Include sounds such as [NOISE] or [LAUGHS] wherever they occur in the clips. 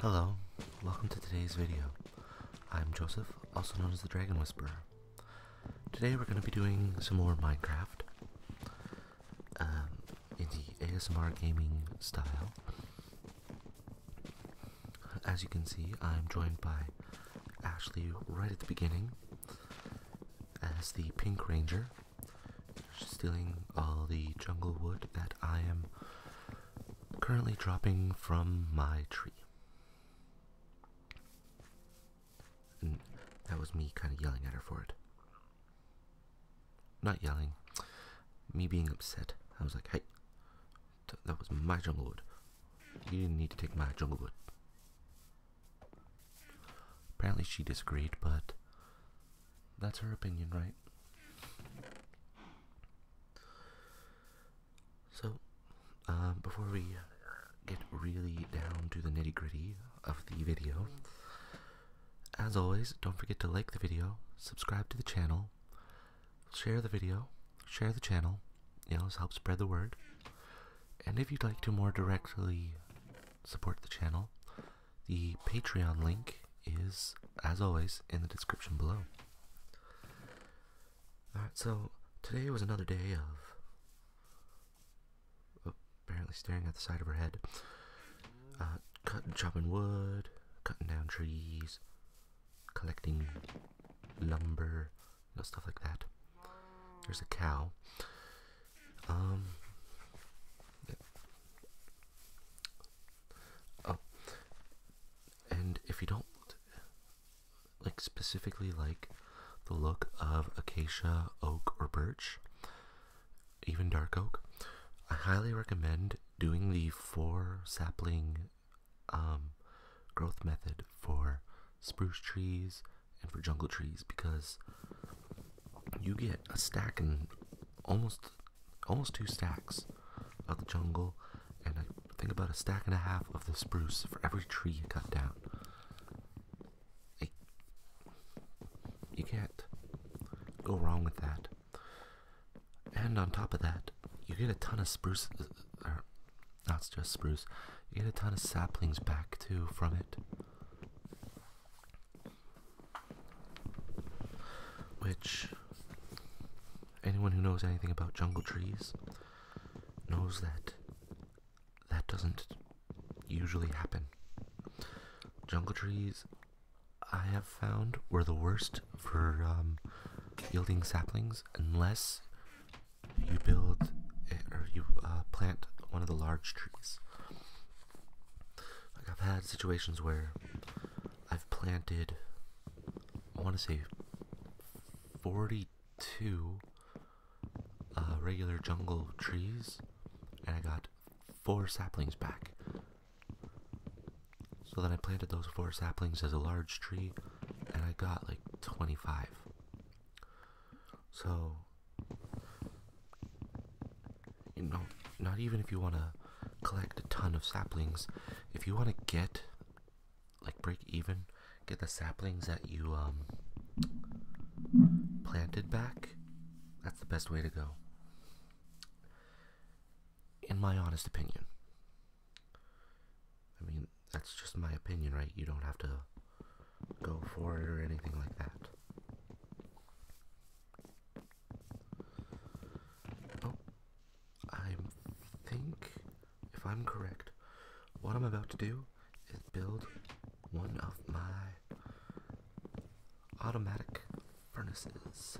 Hello, welcome to today's video. I'm Joseph, also known as the Dragon Whisperer. Today we're going to be doing some more Minecraft um, in the ASMR gaming style. As you can see, I'm joined by Ashley right at the beginning as the Pink Ranger stealing all the jungle wood that I am currently dropping from my tree. Mm, that was me kind of yelling at her for it. Not yelling, me being upset. I was like, hey, that was my jungle wood. You didn't need to take my jungle wood. Apparently she disagreed, but that's her opinion, right? So, um, before we uh, get really down to the nitty gritty of the video, as always, don't forget to like the video, subscribe to the channel, share the video, share the channel, you know, help spread the word. And if you'd like to more directly support the channel, the Patreon link is, as always, in the description below. Alright, so today was another day of oh, apparently staring at the side of her head. Uh, cutting, chopping wood, cutting down trees, collecting lumber, stuff like that. There's a cow. Um. Oh, and if you don't like specifically like the look of acacia, oak, or birch, even dark oak, I highly recommend doing the four sapling um, growth method for spruce trees and for jungle trees because you get a stack and almost almost two stacks of the jungle, and I think about a stack and a half of the spruce for every tree you cut down. you can't go wrong with that. And on top of that, you get a ton of spruce, uh, or not just spruce, you get a ton of saplings back too from it. Which anyone who knows anything about jungle trees knows that that doesn't usually happen. Jungle trees, I have found, were the worst for um, yielding saplings unless you build eh, or you uh, plant one of the large trees. Like I've had situations where I've planted, I want to say, 42 uh, regular jungle trees, and I got four saplings back. So then I planted those four saplings as a large tree, and I got like 25. So you know, not even if you want to collect a ton of saplings, if you want to get like break even, get the saplings that you um planted back, that's the best way to go. In my honest opinion. I mean, that's just my opinion, right? You don't have to go for it or anything like that. Oh, I think, if I'm correct, what I'm about to do is build one of my automatic furnaces,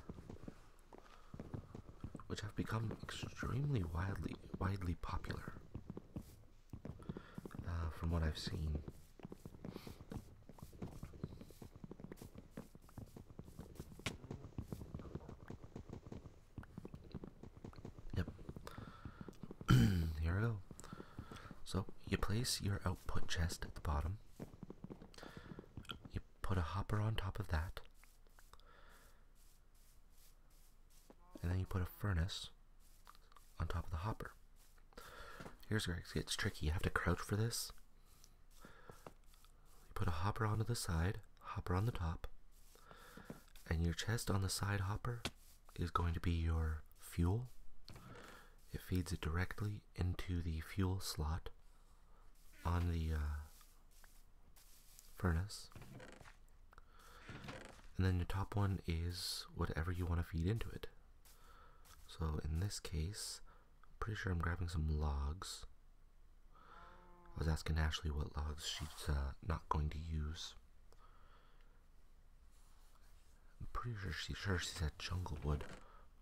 which have become extremely widely widely popular uh, from what I've seen. Yep. [CLEARS THROAT] Here we go. So you place your output chest at the bottom. You put a hopper on top of that. And then you put a furnace on top of the hopper. Here's where it gets tricky. You have to crouch for this. You put a hopper onto the side, hopper on the top, and your chest on the side hopper is going to be your fuel. It feeds it directly into the fuel slot on the uh, furnace. And then your top one is whatever you want to feed into it. So in this case, pretty sure I'm grabbing some logs. I was asking Ashley what logs she's uh, not going to use. I'm pretty sure she's sure she said jungle wood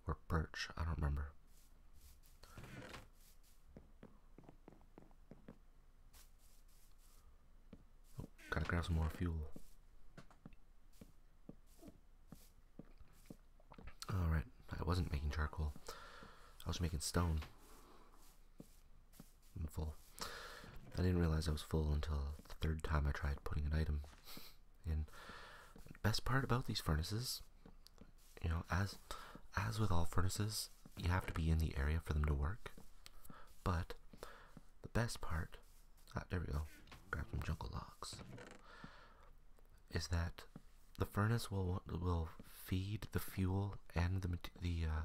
or birch. I don't remember. Oh, gotta grab some more fuel. Alright, I wasn't making charcoal. I was making stone. I'm full. I didn't realize I was full until the third time I tried putting an item in. Best part about these furnaces, you know, as as with all furnaces, you have to be in the area for them to work. But the best part, ah, there we go. Grab some jungle logs is that the furnace will will feed the fuel and the the uh,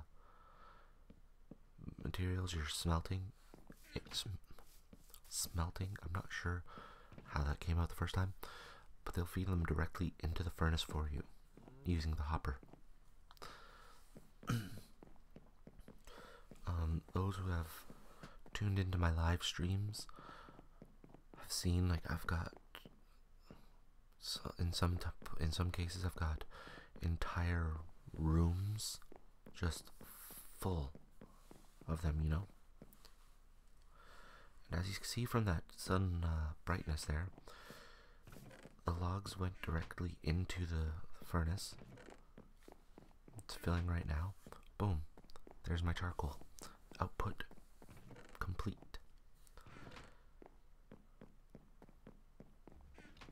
materials you're smelting. smelting. I'm not sure how that came out the first time, but they'll feed them directly into the furnace for you using the hopper. [CLEARS THROAT] Um, those who have tuned into my live streams I've seen like I've got so in some in some cases I've got entire rooms just full of them, you know. And as you can see from that sun uh, brightness there, the logs went directly into the furnace. It's filling right now. Boom. There's my charcoal output complete.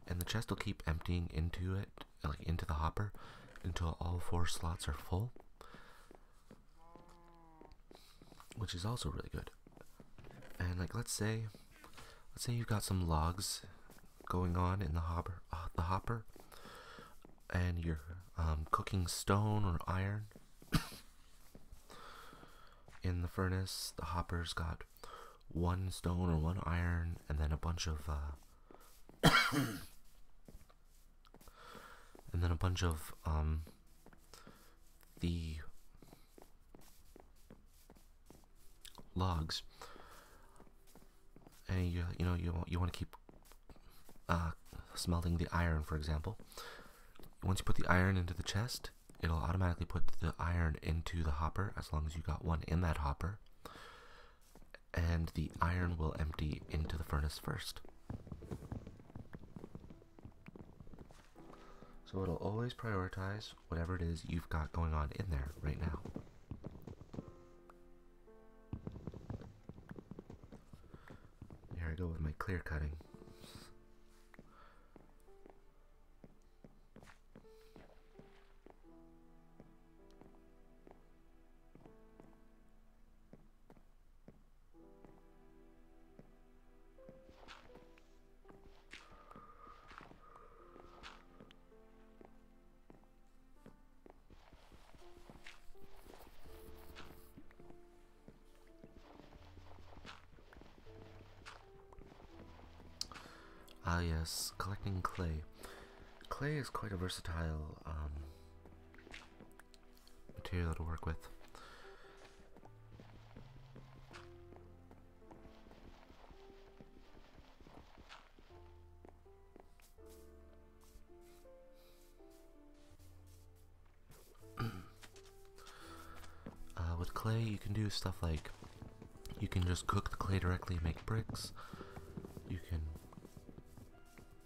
And the chest will keep emptying into it, like into the hopper, until all four slots are full. Which is also really good. And like let's say let's say you've got some logs going on in the hopper uh, the hopper and you're um, cooking stone or iron in the furnace, the hoppers got one stone or one iron, and then a bunch of uh, [COUGHS] and then a bunch of um, the logs. And you you know you you want to keep uh, smelting the iron, for example, once you put the iron into the chest, it'll automatically put the iron into the hopper as long as you got one in that hopper. And the iron will empty into the furnace first. So it'll always prioritize whatever it is you've got going on in there right now. Here I go with my clear cutting. Ah yes, collecting clay. Clay is quite a versatile um, material to work with. [CLEARS THROAT] Uh, with clay, you can do stuff like you can just cook the clay directly make bricks. You can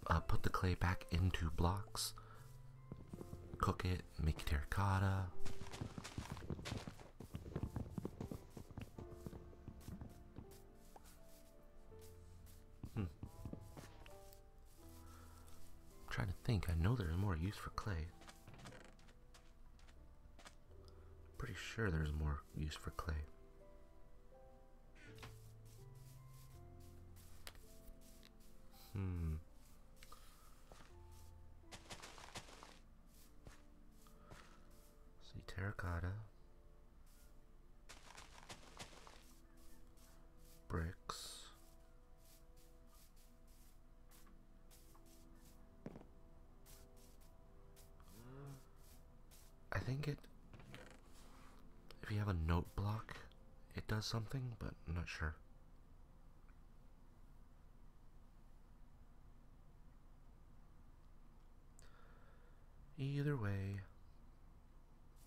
uh, put the clay back into blocks, cook it, make terracotta. Hmm. I'm trying to think. I know there's more use for clay. pretty sure there's more use for clay. Hmm. See terracotta. Bricks. I think it, if you have a note block, it does something, but I'm not sure. Either way,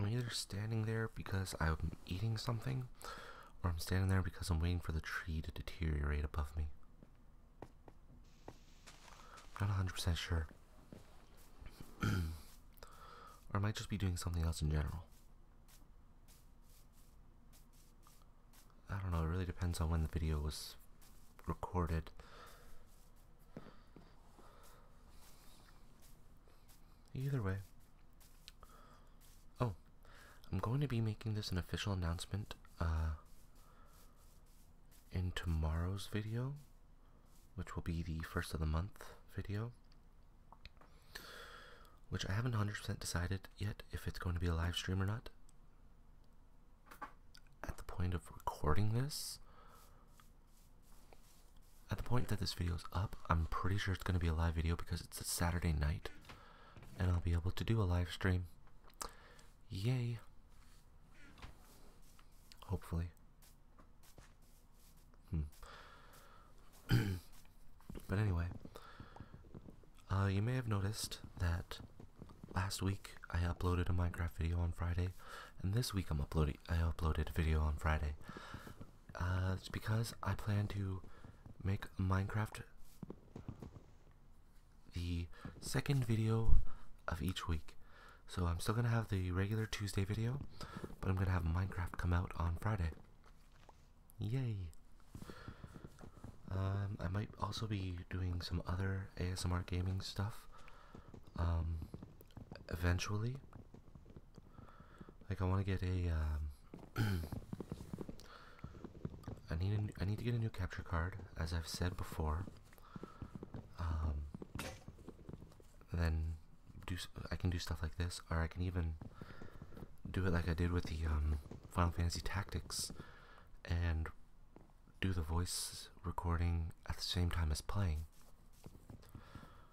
I'm either standing there because I'm eating something, or I'm standing there because I'm waiting for the tree to deteriorate above me. I'm not 100% sure. [CLEARS THROAT] or I might just be doing something else in general. I don't know, it really depends on when the video was recorded. Either way. Oh, I'm going to be making this an official announcement uh, in tomorrow's video, which will be the first of the month video. Which I haven't 100% decided yet if it's going to be a live stream or not. At the point of recording this, at the point that this video is up, I'm pretty sure it's going to be a live video because it's a Saturday night. And I'll be able to do a live stream. Yay! Hopefully. Hmm. [CLEARS THROAT] but anyway, uh, you may have noticed that last week I uploaded a Minecraft video on Friday, and this week I'm uploading I uploaded a video on Friday. Uh, it's because I plan to make Minecraft the second video of each week. So I'm still gonna have the regular Tuesday video, but I'm gonna have Minecraft come out on Friday. Yay! Um, I might also be doing some other ASMR gaming stuff. Um, eventually. Like I want to get a. Um, [CLEARS THROAT] I need a, I need to get a new capture card, as I've said before. Um, then do I can do stuff like this or I can even do it like I did with the um, Final Fantasy Tactics and do the voice recording at the same time as playing.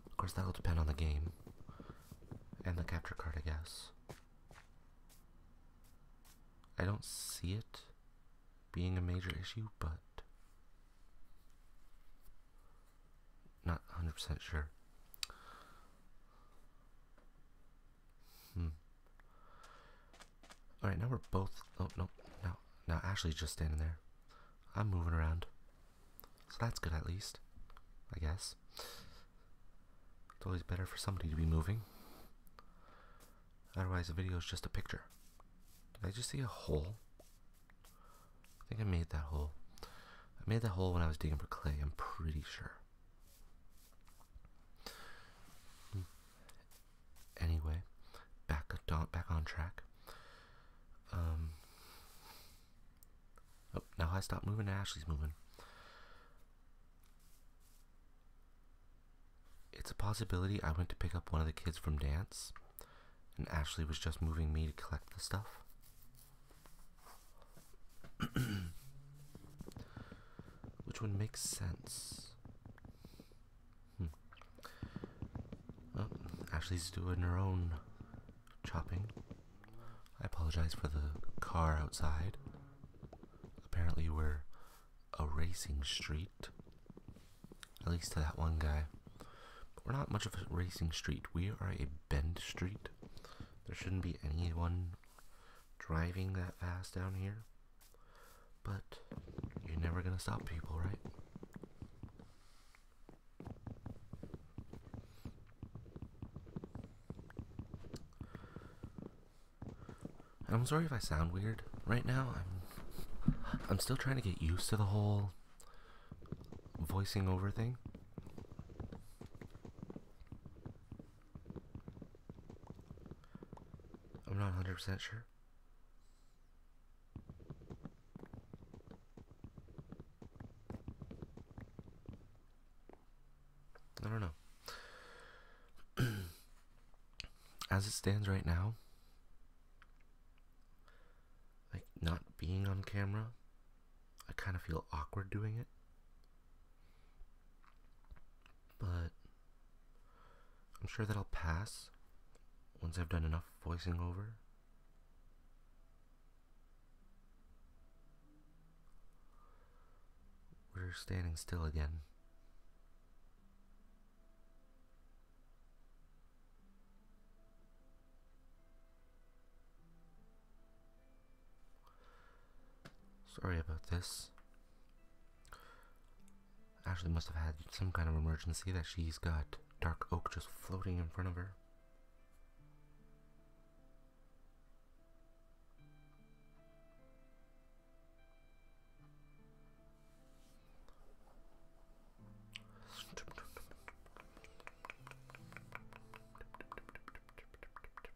Of course, that'll depend on the game and the capture card, I guess. I don't see it being a major issue, but not 100% sure. Hmm. Alright, now we're both. Oh, no. no, now Ashley's just standing there. I'm moving around. So that's good at least. I guess. It's always better for somebody to be moving. Otherwise, the video is just a picture. Did I just see a hole? I think I made that hole. I made that hole when I was digging for clay, I'm pretty sure. Anyway, back on back on track. Um. Oh, now I stopped moving. Ashley's moving. It's a possibility I went to pick up one of the kids from dance, and Ashley was just moving me to collect the stuff. [COUGHS] Which one makes sense? Hmm. Ashley's doing her own chopping. I apologize for the car outside. Apparently, we're a racing street. At least to that one guy. we're not much of a racing street. We are a bend street. There shouldn't be anyone driving that fast down here. But you're never going to stop people, right? I'm sorry if I sound weird right now. I'm I'm still trying to get used to the whole voicing over thing. I'm not 100% sure. I don't know. [CLEARS THROAT] As it stands right now, like not being on camera, I kind of feel awkward doing it. But I'm sure that I'll pass once I've done enough voicing over. We're standing still again. Sorry about this. Ashley must have had some kind of emergency that she's got dark oak just floating in front of her. [LAUGHS]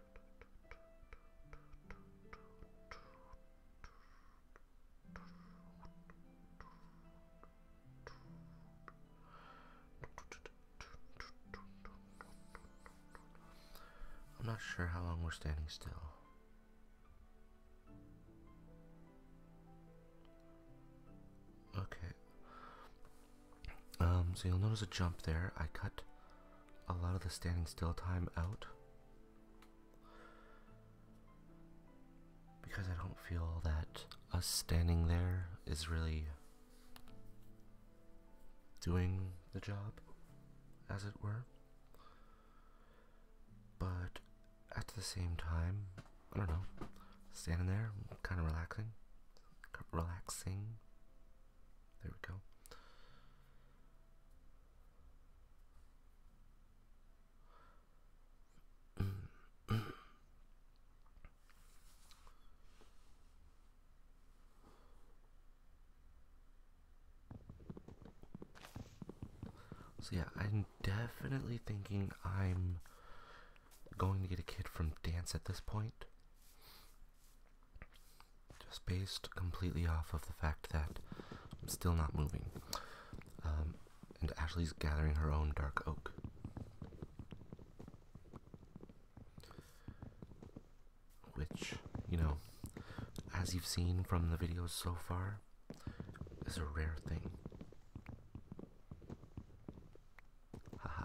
I'm not sure how long we're standing still. Okay. Um, so you'll notice a jump there. I cut a lot of the standing still time out because I don't feel that us standing there is really doing the job, as it were. But at the same time, I don't know, standing there, kind of relaxing, relaxing, there we go. So yeah, I'm definitely thinking I'm going to get a kid from dance at this point just based completely off of the fact that I'm still not moving. Um, and Ashley's gathering her own dark oak. Which, you know, as you've seen from the videos so far, is a rare thing. Haha.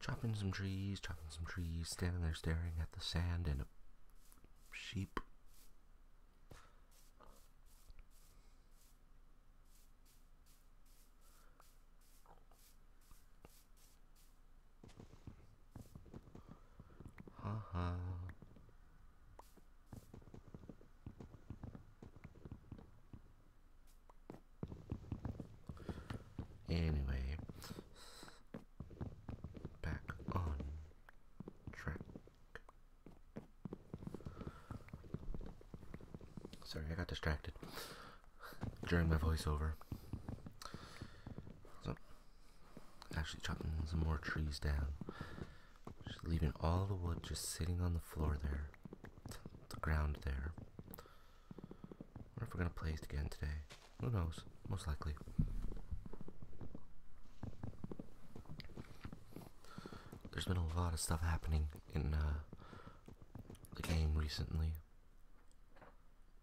Chopping some trees, chopping some trees, standing there staring at the sand and a sheep Anyway, back on track. Sorry, I got distracted during my voiceover. So, actually chopping some more trees down. Just leaving all the wood just sitting on the floor there. The ground there. Wonder if we're gonna play it again today. Who knows? Most likely. There's been a lot of stuff happening in uh, the game recently.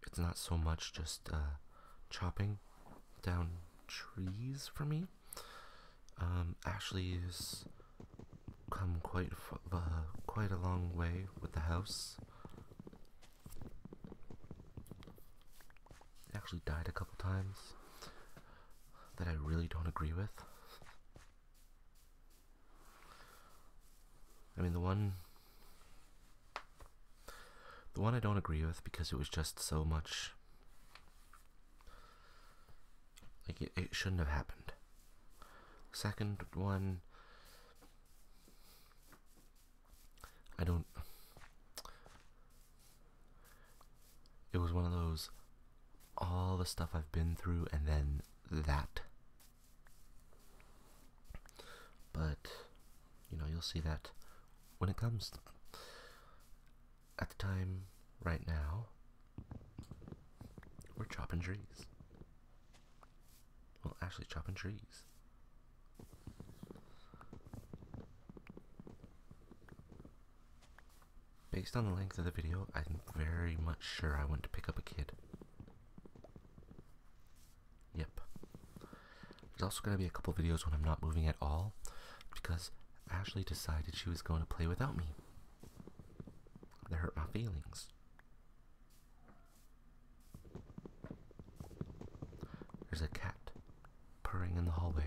It's not so much just uh, chopping down trees for me. Um, Ashley has come quite uh, quite a long way with the house actually died a couple times that I really don't agree with. I mean, the one. The one I don't agree with because it was just so much. Like, it, shouldn't have happened. Second one. I don't. It was one of those, all the stuff I've been through, and then that. But, you know, you'll see that when it comes at the time right now, we're chopping trees. Well, actually, chopping trees. Based on the length of the video, I'm very much sure I went to pick up a kid. Yep. There's also going to be a couple videos when I'm not moving at all because Ashley decided she was going to play without me. That hurt my feelings. There's a cat purring in the hallway.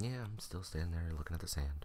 Yeah, I'm still standing there looking at the sand.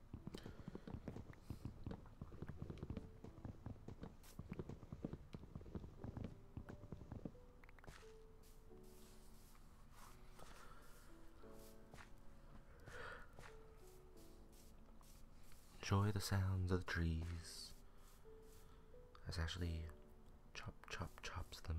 Enjoy the sounds of the trees as Ashley chop chop chops them.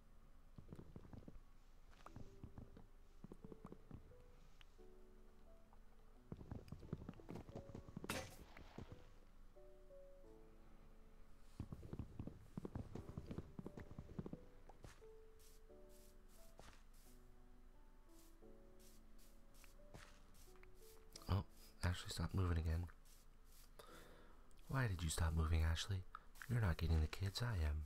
Oh, actually stopped moving again. Why did you stop moving, Ashley? You're not getting the kids, I am.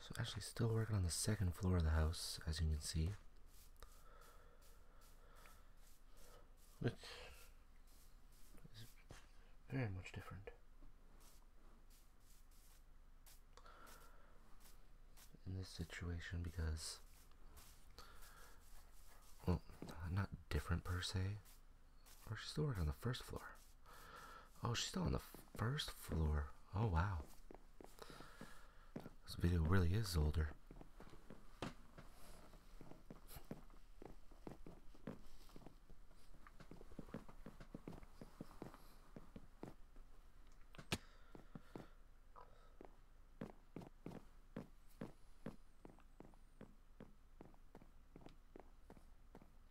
So actually still working on the second floor of the house, as you can see. Which is very much different. In this situation because well, not different per se, or oh, she's still working on the first floor. Oh, she's still on the first floor. Oh, wow. This video really is older.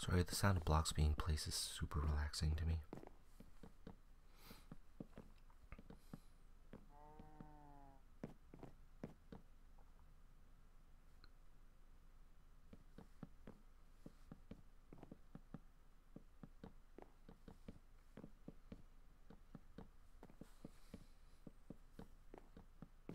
Sorry, the sound of blocks being placed is super relaxing to me.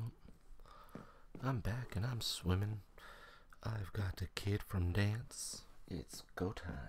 Oh, I'm back and I'm swimming. I've got the kid from dance. It's go time.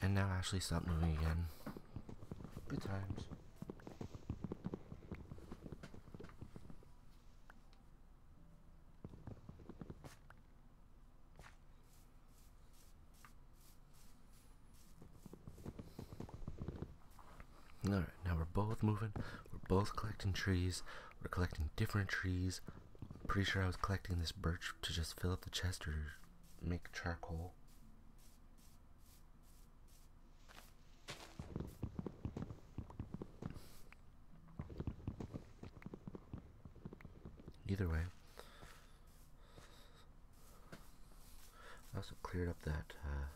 And now Ashley stopped moving again. Good times. Alright, now we're both moving. We're both collecting trees. We're collecting different trees. pretty sure I was collecting this birch to just fill up the chest or make charcoal. Either way, I also cleared up that uh,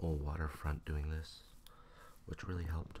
whole waterfront doing this, which really helped.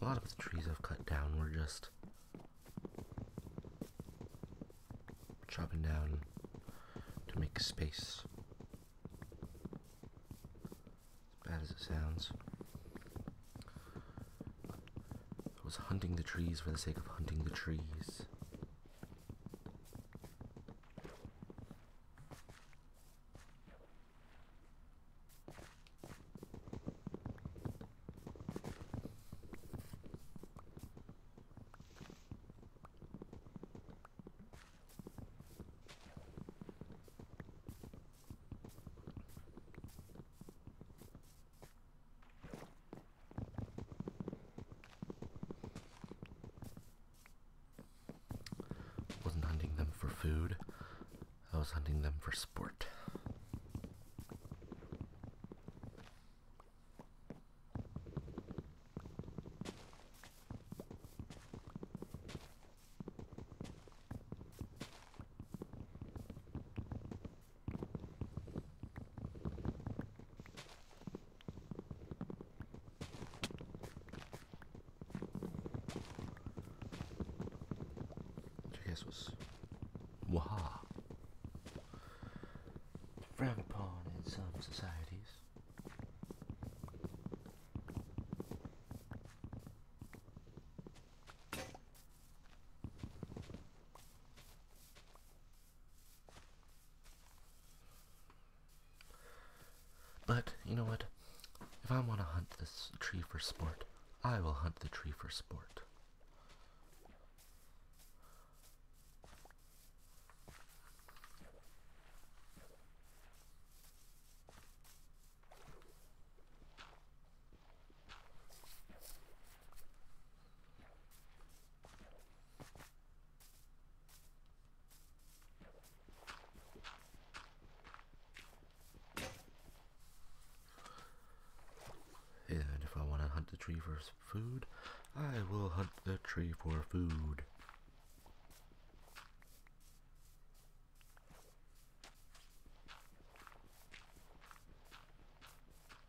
A lot of the trees I've cut down were just chopping down to make space. As bad as it sounds. I was hunting the trees for the sake of hunting the trees. Wasn't hunting them for food, I was hunting them for sport. Jesus. Waha. Frowned upon in some societies. But, you know what? If I want to hunt this tree for sport, I will hunt the tree for sport. And if I want to hunt the tree for food, I will hunt the tree for food.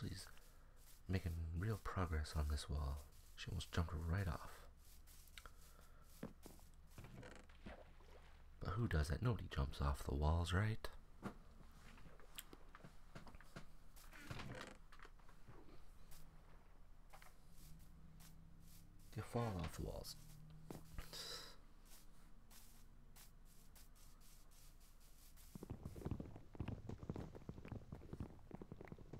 she's making real progress on this wall. She almost jumped right off. But who does that? Nobody jumps off the walls, right? You fall off the walls.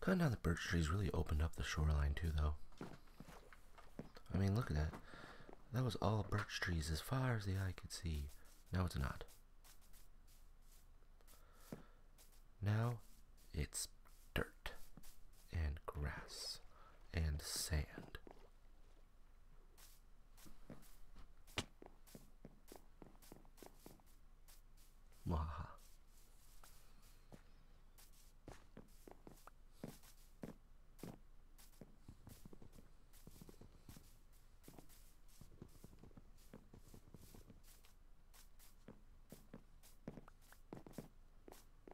Cutting down the birch trees really opened up the shoreline too, though. I mean, look at that. That was all birch trees as far as the eye could see. Now it's not. Now it's dirt and grass and sand. Maha.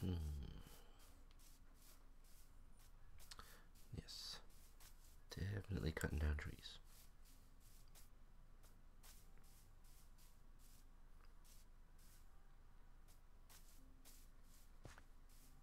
Hmm. Yes, definitely cutting down trees.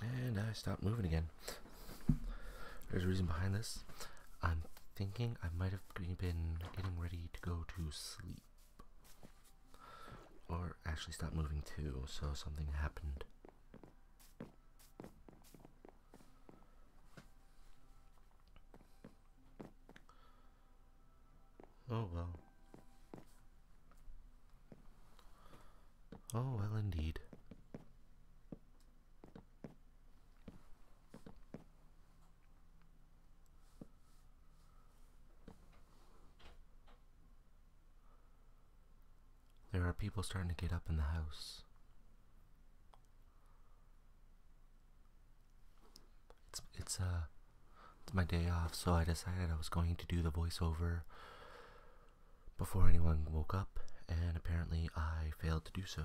And I stopped moving again. There's a reason behind this. I'm thinking I might have been getting ready to go to sleep. Or actually stopped moving too, so something happened. Oh well. Oh, well, indeed. There are people starting to get up in the house. It's it's uh it's my day off, so I decided I was going to do the voiceover before anyone woke up, and apparently I failed to do so.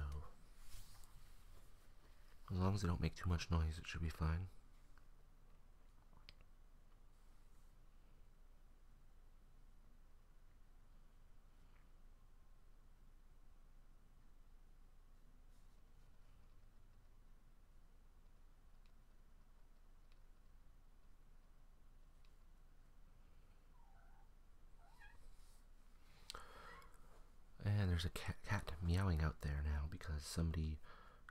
As long as they don't make too much noise, it should be fine. And there's a cat, meowing out there now because somebody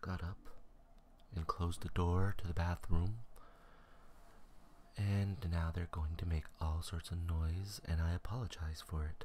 got up and closed the door to the bathroom. And now they're going to make all sorts of noise, and I apologize for it.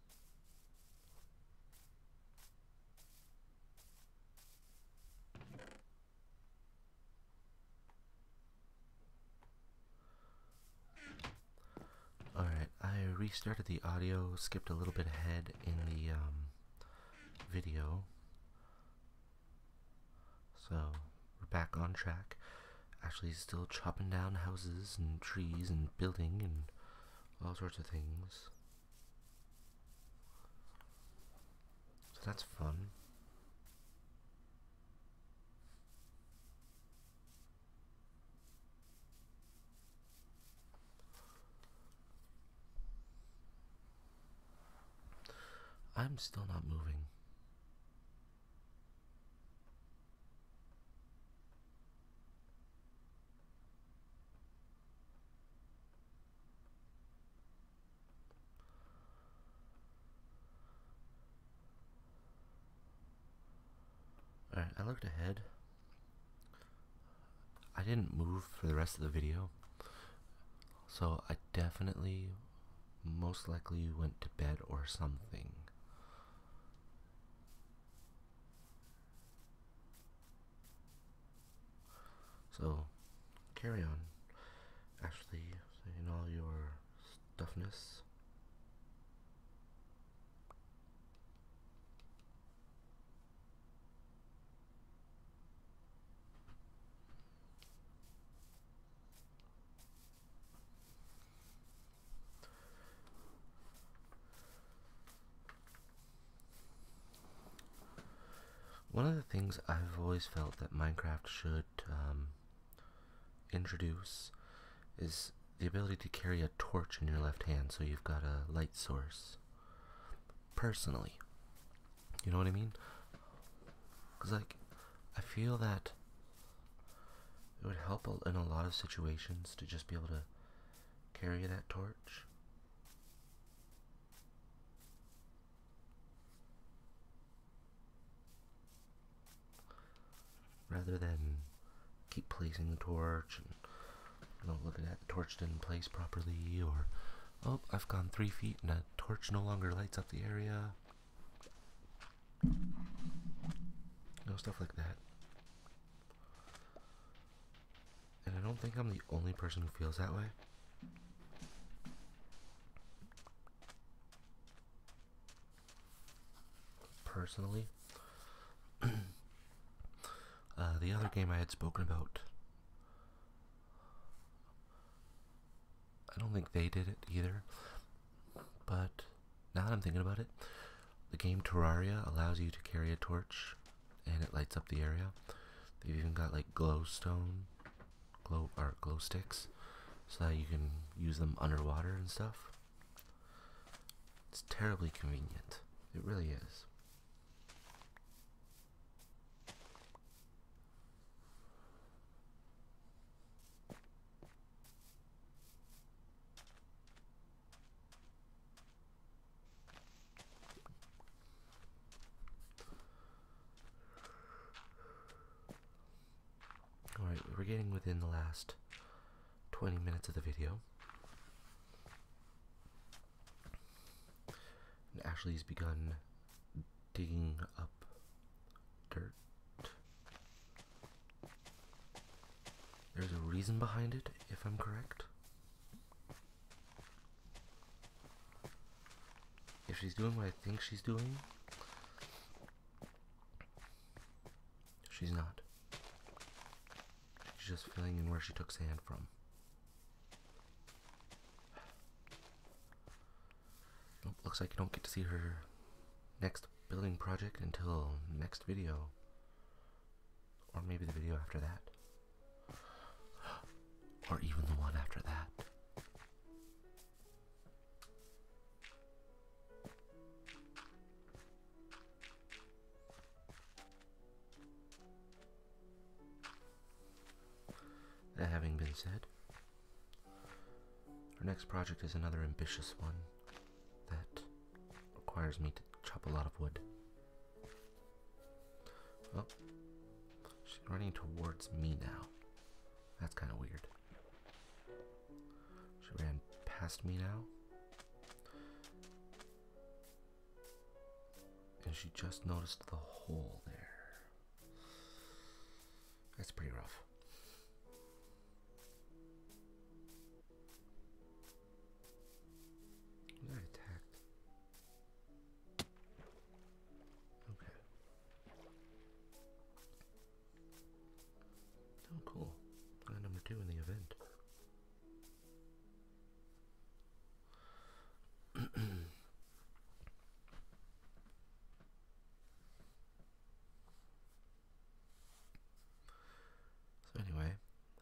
Alright, I restarted the audio, skipped a little bit ahead in the um, video. So, we're back on track. Ashley's still chopping down houses and trees and building and all sorts of things. So that's fun. I'm still not moving. Alright, I looked ahead. I didn't move for the rest of the video, so I definitely most likely went to bed or something. So, carry on. Actually, in all your stuffiness. One of the things I've always felt that Minecraft should um, introduce is the ability to carry a torch in your left hand so you've got a light source. Personally. You know what I mean? Because, like, I feel that it would help in a lot of situations to just be able to carry that torch. Rather than keep placing the torch and don't look at the torch didn't place properly, or oh, I've gone three feet and a torch no longer lights up the area. You stuff like that. And I don't think I'm the only person who feels that way. Personally, [CLEARS THROAT] uh, the other game I had spoken about, I don't think they did it either. But now that I'm thinking about it, the game Terraria allows you to carry a torch and it lights up the area. They've even got like glowstone, glow or glow sticks, so that you can use them underwater and stuff. It's terribly convenient. It really is. Alright, we're getting within the last 20 minutes of the video. And Ashley's begun digging up dirt. There's a reason behind it, if I'm correct. If she's doing what I think she's doing, she's not. She's just filling in where she took sand from. looks like you don't get to see her next building project until next video. Or maybe the video after that. Or even the one after that. That having been said, our next project is another ambitious one that requires me to chop a lot of wood. Oh, she's running towards me now. That's kind of weird. She ran past me now. And she just noticed the hole there. That's pretty rough. Was attacked? Okay. Oh, cool. Plan number two in the event. [CLEARS THROAT] so anyway,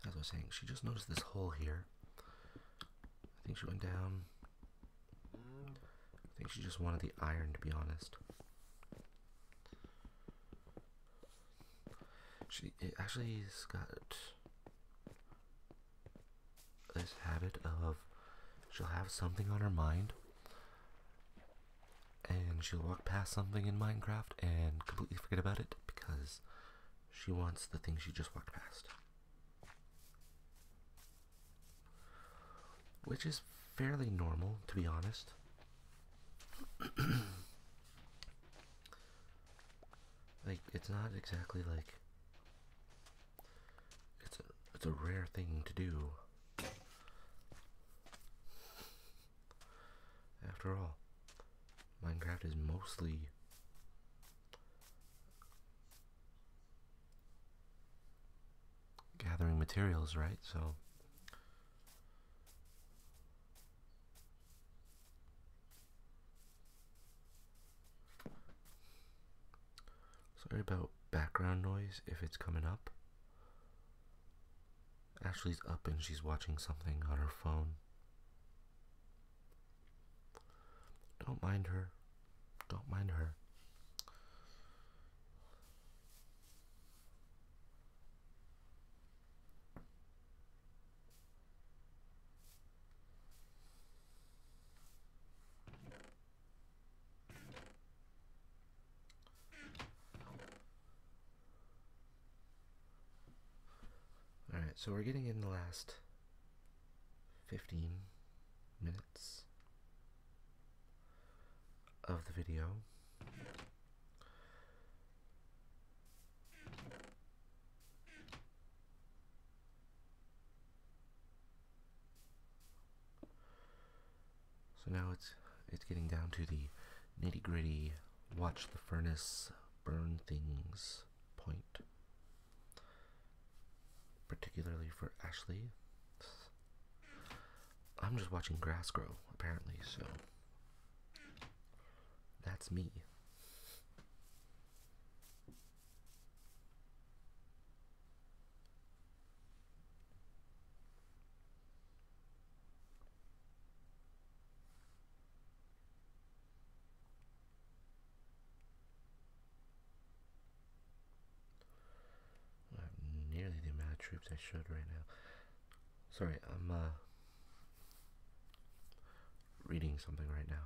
as I was saying, she just noticed this hole here. I think she went down. I think she just wanted the iron, to be honest. She actually has got this habit of she'll have something on her mind and she'll walk past something in Minecraft and completely forget about it because she wants the thing she just walked past. Which is fairly normal, to be honest. [CLEARS THROAT] like, it's not exactly like it's a, it's a rare thing to do. After all, Minecraft is mostly gathering materials, right? So Sorry about background noise if it's coming up. Ashley's up and she's watching something on her phone. Don't mind her. Don't mind her. Alright, so we're getting in the last 15 minutes of the video. So now it's it's getting down to the nitty gritty watch the furnace burn things point, particularly for Ashley. I'm just watching grass grow, apparently, so that's me. I have nearly the amount of troops I should right now. Sorry, I'm uh, reading something right now.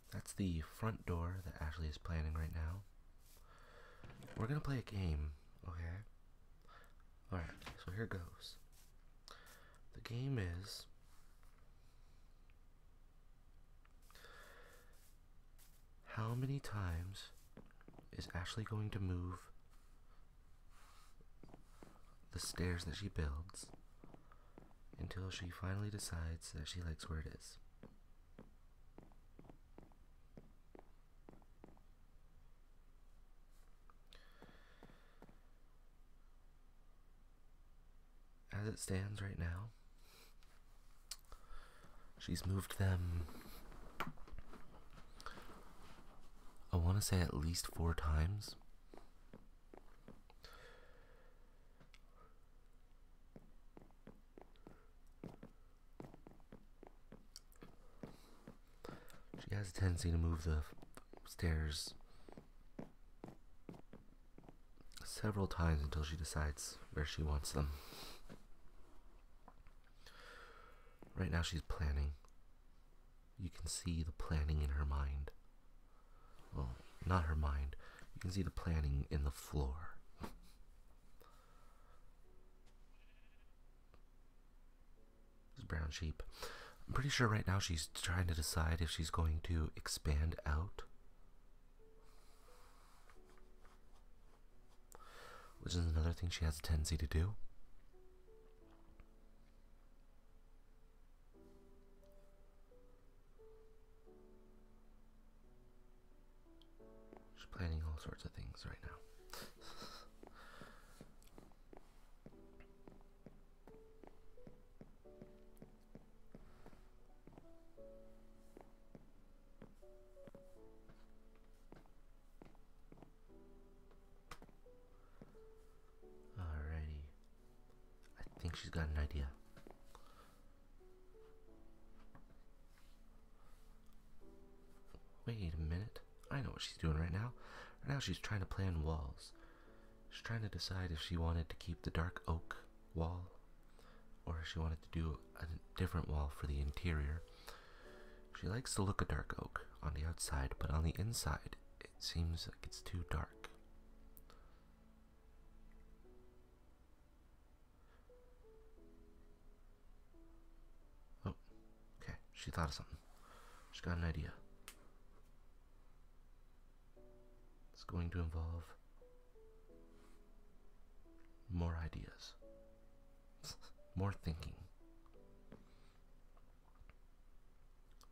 that's the front door that Ashley is planning right now. We're gonna play a game, okay? Alright, so here goes. The game is. How many times is Ashley going to move the stairs that she builds until she finally decides that she likes where it is. As it stands right now, she's moved them, I want to say at least four times. She has a tendency to move the stairs several times until she decides where she wants them. Right now, she's planning. You can see the planning in her mind. Well, not her mind. You can see the planning in the floor. this brown sheep. I'm pretty sure right now she's trying to decide if she's going to expand out. Which is another thing she has a tendency to do. She's planning all sorts of things right now. Alrighty. I think she's got an idea. Wait a minute. I know what she's doing right now. Right now, she's trying to plan walls. She's trying to decide if she wanted to keep the dark oak wall or if she wanted to do a different wall for the interior. She likes the look of dark oak on the outside, but on the inside, it seems like it's too dark. Oh, okay. She thought of something. She has got an idea. It's going to involve more ideas, [LAUGHS] more thinking.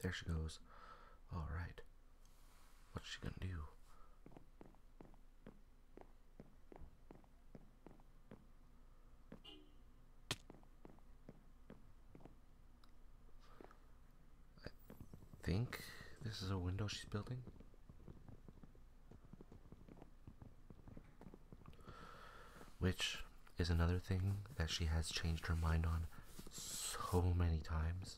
There she goes. All right. What's she gonna do? I think this is a window she's building. Which is another thing that she has changed her mind on so many times.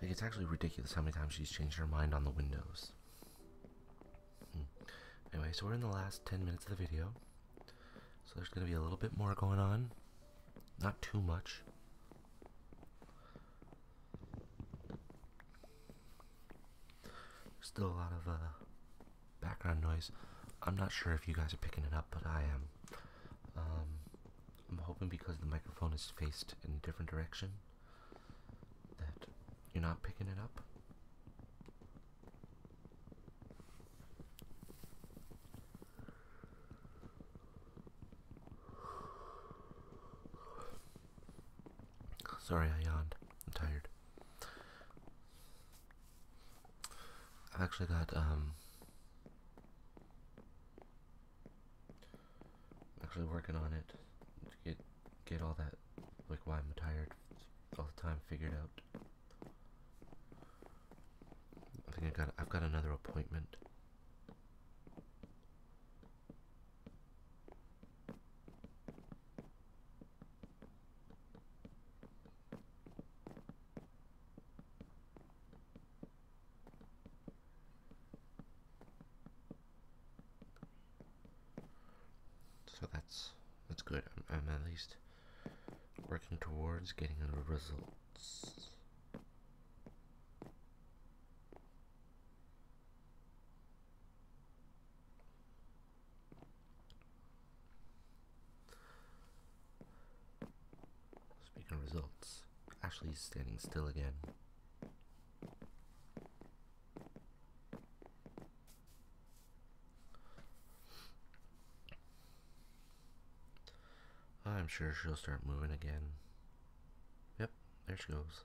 Like, it's actually ridiculous how many times she's changed her mind on the windows. Hmm. Anyway, so we're in the last 10 minutes of the video. So there's going to be a little bit more going on. Not too much. Still a lot of uh, background noise. I'm not sure if you guys are picking it up, but I am. Um, I'm hoping because the microphone is faced in a different direction that you're not picking it up. Sorry, I yawned. I'm tired. I've actually got, um, actually working on it to get get all that like why I'm tired all the time figured out. I think I got I've got another appointment. So that's that's good. I'm, at least working towards getting the results. Speaking of results, Ashley's standing still again. I'm sure she'll start moving again. Yep, there she goes.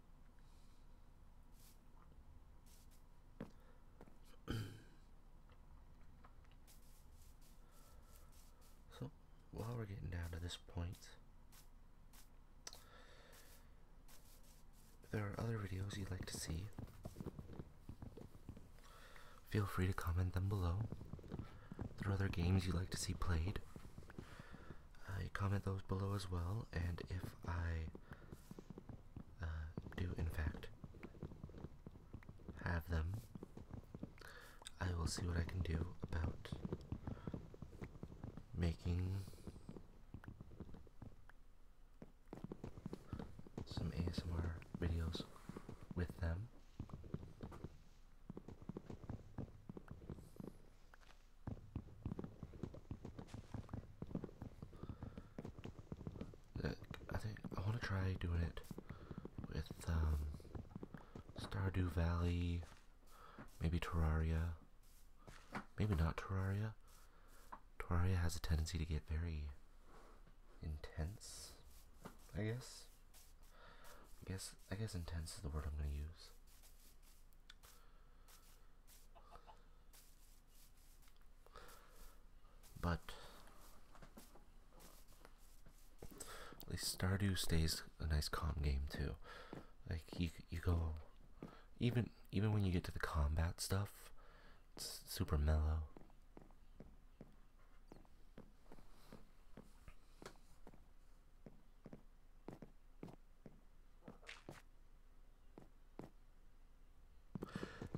so while we're getting down to this point if there are other videos you'd like to see feel free to comment them below there are other games you'd like to see played you comment those below as well, and if I uh, do in fact have them, I will see what I can do about making some ASMR videos with them. I think I want to try doing it with um, Stardew Valley, maybe Terraria, maybe not Terraria. Terraria has a tendency to get very intense, I guess. I guess I guess intense is the word I'm gonna use. But at least Stardew stays a nice calm game too. Like you, you go even even when you get to the combat stuff, it's super mellow.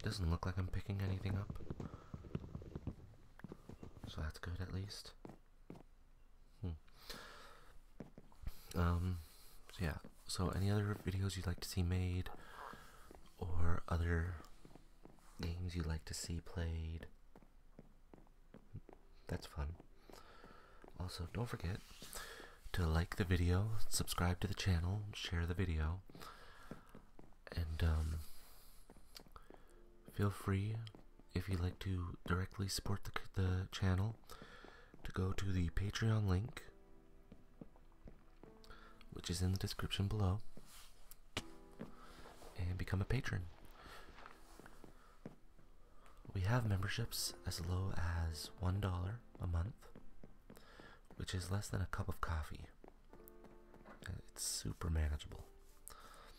Doesn't look like I'm picking anything up. So that's good at least. Hmm. Um, yeah. So any other videos you'd like to see made or other games you'd like to see played? That's fun. Also, don't forget to like the video, subscribe to the channel, share the video, and um, feel free if you'd like to directly support the, the channel to go to the Patreon link, which is in the description below, and become a patron. We have memberships as low as $1 a month, which is less than a cup of coffee. Uh, it's super manageable.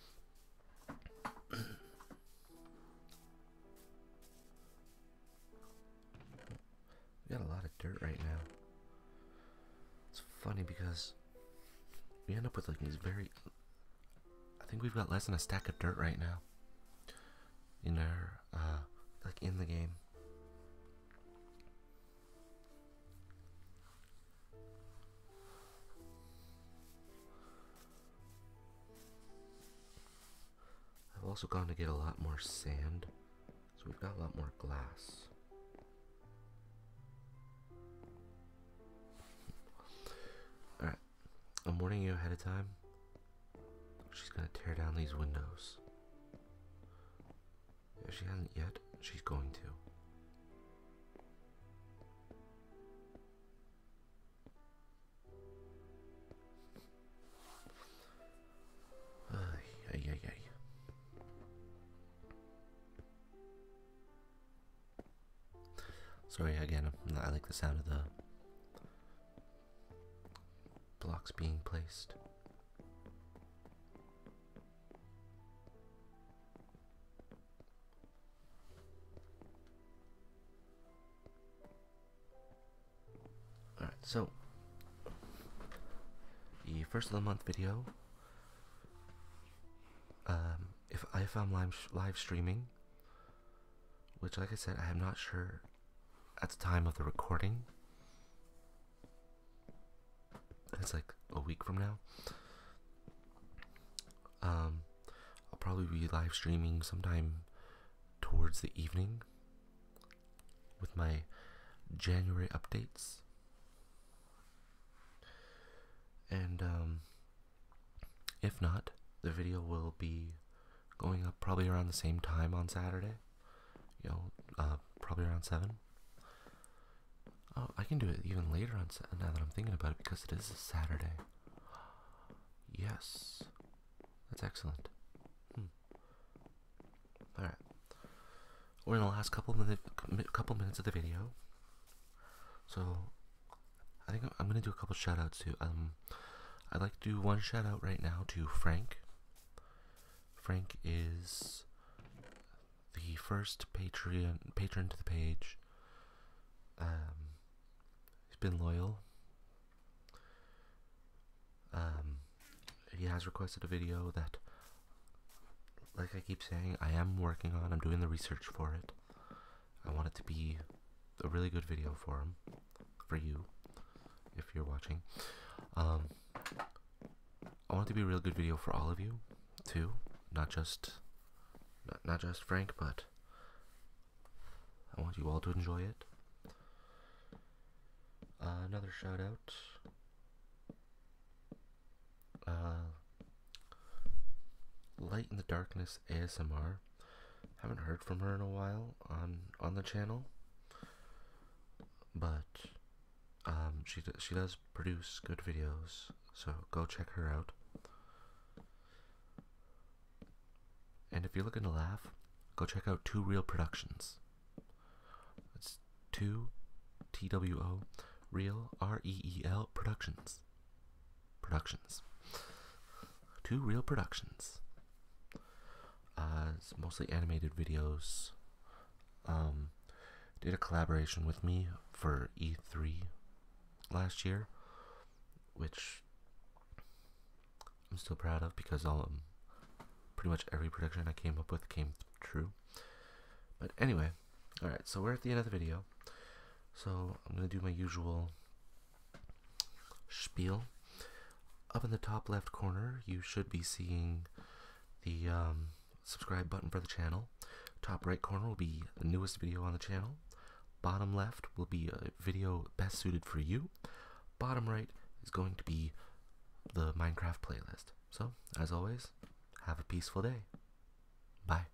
[CLEARS THROAT] we got a lot of dirt right now. It's funny because we end up with like these very. I think we've got less than a stack of dirt right now in our uh, like in the game. I've also gone to get a lot more sand, so we've got a lot more glass. Alright, I'm warning you ahead of time. She's gonna tear down these windows. If she hasn't yet, she's going to. Ay, ay, ay. Sorry again, I like the sound of the Blocks being placed. Alright, so the first of the month video. Um, if I am live, live streaming, which, like I said, I am not sure at the time of the recording. It's like a week from now. Um, I'll probably be live streaming sometime towards the evening with my January updates. And um, if not, the video will be going up probably around the same time on Saturday. You know, uh, probably around 7. Oh, I can do it even later on now that I'm thinking about it because it is a Saturday. [GASPS] Yes. That's excellent. Hmm. Alright. We're in the last couple, minutes of the video. So, I think I'm going to do a couple shoutouts to um, um, I'd like to do one shout out right now to Frank. Frank is the first patron, patron to the page. Um, he's been loyal. Um, he has requested a video that, like I keep saying, I am working on. I'm doing the research for it. I want it to be a really good video for him for you if you're watching. Um, I want it to be a real good video for all of you too, not just not, just Frank, but I want you all to enjoy it. Uh, another shout out. Uh, Light in the Darkness ASMR haven't heard from her in a while on on the channel, but um, she she does produce good videos, so go check her out. And if you're looking to laugh, go check out Two Real Productions. two T W O Real R E E L Productions. Productions. Two Real Productions. Uh, mostly animated videos. Um, did a collaboration with me for E3 last year, which I'm still proud of because all um, pretty much every prediction I came up with came true. But anyway, all right, so we're at the end of the video. So I'm gonna do my usual spiel. Up in the top left corner, you should be seeing the um, subscribe button for the channel. Top right corner will be the newest video on the channel. Bottom left will be a video best suited for you. Bottom right is going to be the Minecraft playlist. So, as always, have a peaceful day. Bye.